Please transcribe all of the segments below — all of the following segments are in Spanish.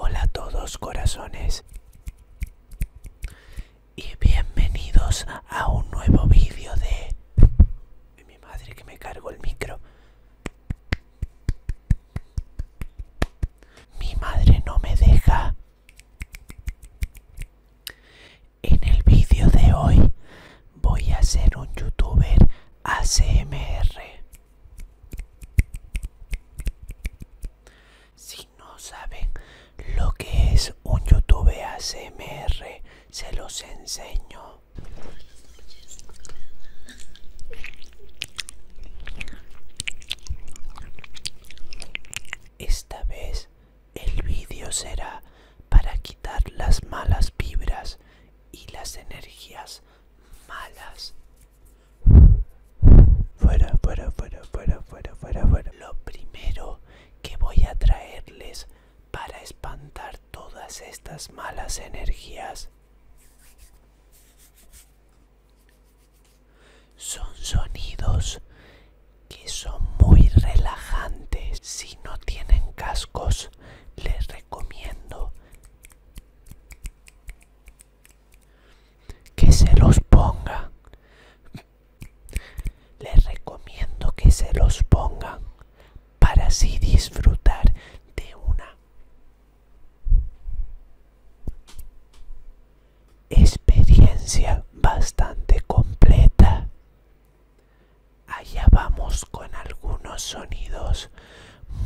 Hola a todos corazones y bienvenidos a un nuevo vídeo de mi madre que me cargó el micro mi madre no me deja. En el vídeo de hoy voy a ser un youtuber ACMR. Si no saben lo que es un youtuber ACMR, se los enseño. Esta vez el vídeo será para quitar las malas vibras y las energías malas. Fuera, fuera, fuera, fuera, fuera, fuera, fuera. Lo primero que voy a traerles para espantar todas estas malas energías son sonidos que son muy relajantes. Si no tienen cascos, les recomiendo que se los pongan. Les recomiendo que se los pongan para así disfrutar de una experiencia bastante completa. Allá vamos con algunos sonidos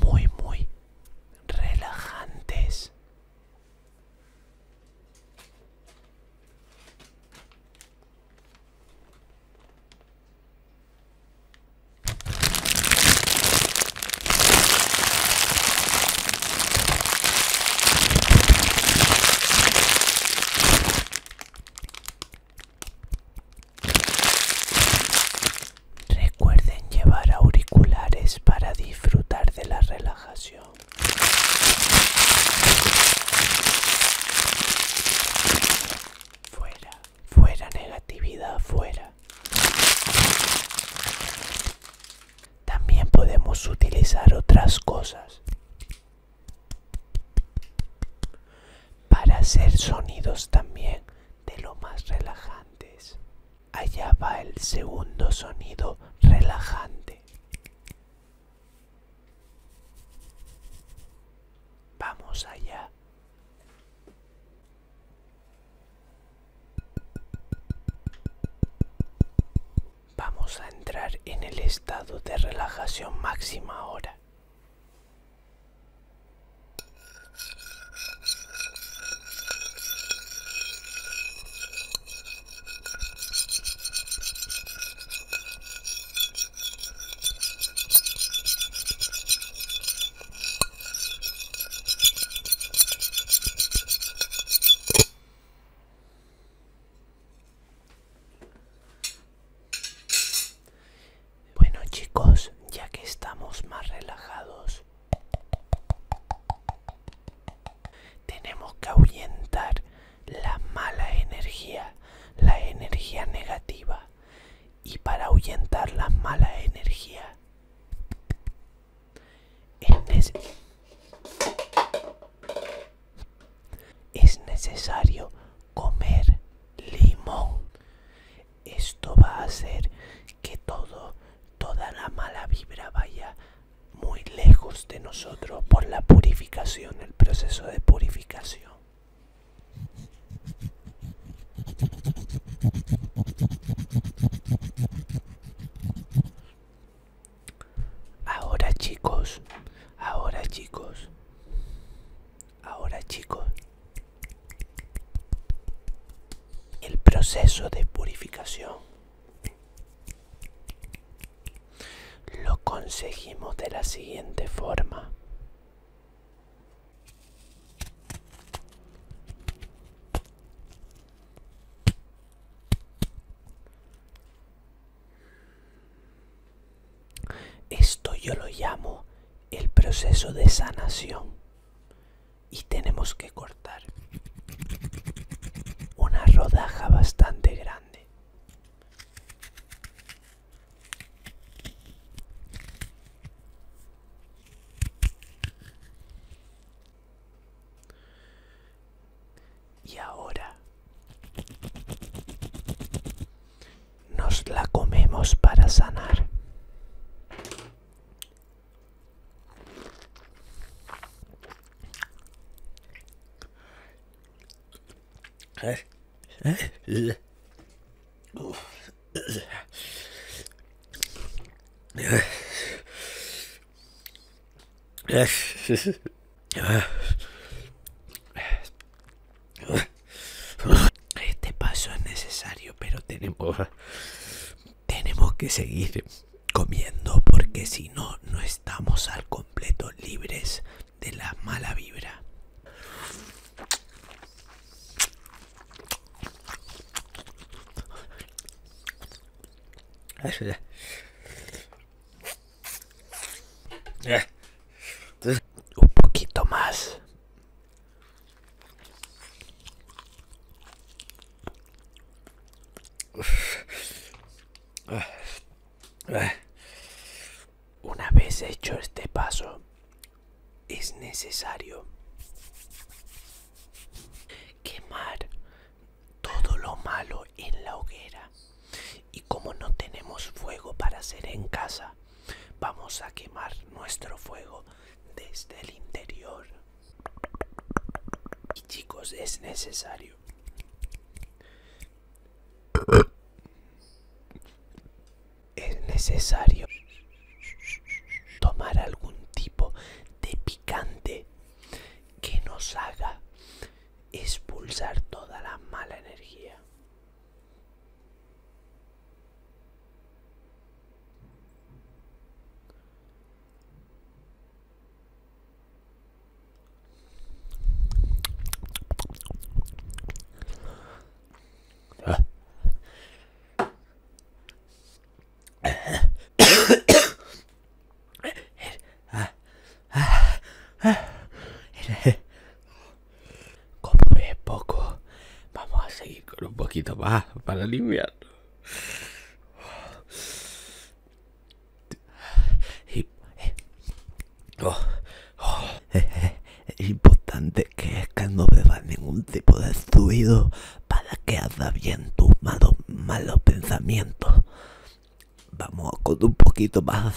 muy muy relajantes. Recuerden llevar auriculares para disfrutar de la relajación. Fuera. Fuera negatividad, fuera. También podemos utilizar otras cosas para hacer sonidos también de lo más relajantes. Allá va el segundo sonido relajante. Vamos allá. Vamos a entrar en el estado de relajación máxima ahora. Bueno chicos, ya que estamos más relajados, tenemos que ahuyentar la mala energía, la energía negativa y para ahuyentar la mala energía Es, necesario comer limón. Esto va a hacer que toda la mala vibra vaya muy lejos de nosotros por la purificación, el proceso de purificación. Ahora chicos, ahora chicos, ahora chicos, el proceso de purificación lo conseguimos de la siguiente forma. Esto yo lo llamo el proceso de sanación y tenemos que cortar una rodaja bastante grande y ahora nos la comemos para sanar. Este paso es necesario, pero tenemos tenemos que seguir comiendo porque si no no estamos al completo libres de la mala vibra. Un poquito más. Una vez hecho este paso, es necesario quemar todo lo malo en la hoguera. Y como no tenemos fuego para hacer en casa, vamos a quemar nuestro fuego desde el interior. Y chicos, es necesario es necesario tomar algún tipo de picante que nos haga expulsar toda la mala energía. Compré poco, vamos a seguir con un poquito más para limpiarlo es importante que, que no bebas ningún tipo de estruido para que haga bien tus malos pensamientos. Vamos con un poquito más.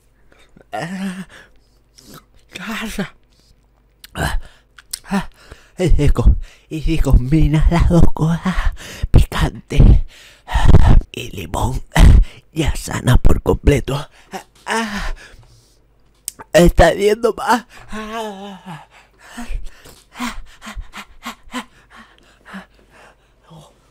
Es rico y si combinas las dos cosas, picante y limón, ya sana por completo. Está viendo más.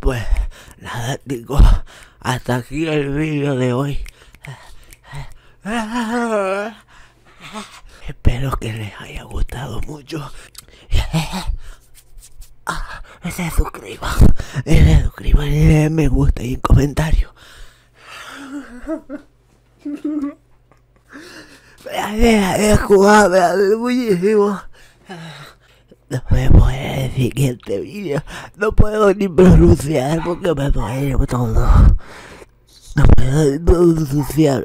Pues nada digo hasta aquí el vídeo de hoy. Espero que les haya gustado mucho. Ah, se suscriban, se suscriban y eh, me gusta y un comentario. es de jugar, me muchísimo. Nos vemos en el siguiente vídeo. No puedo ni pronunciar porque me duele todo. No puedo ni pronunciar.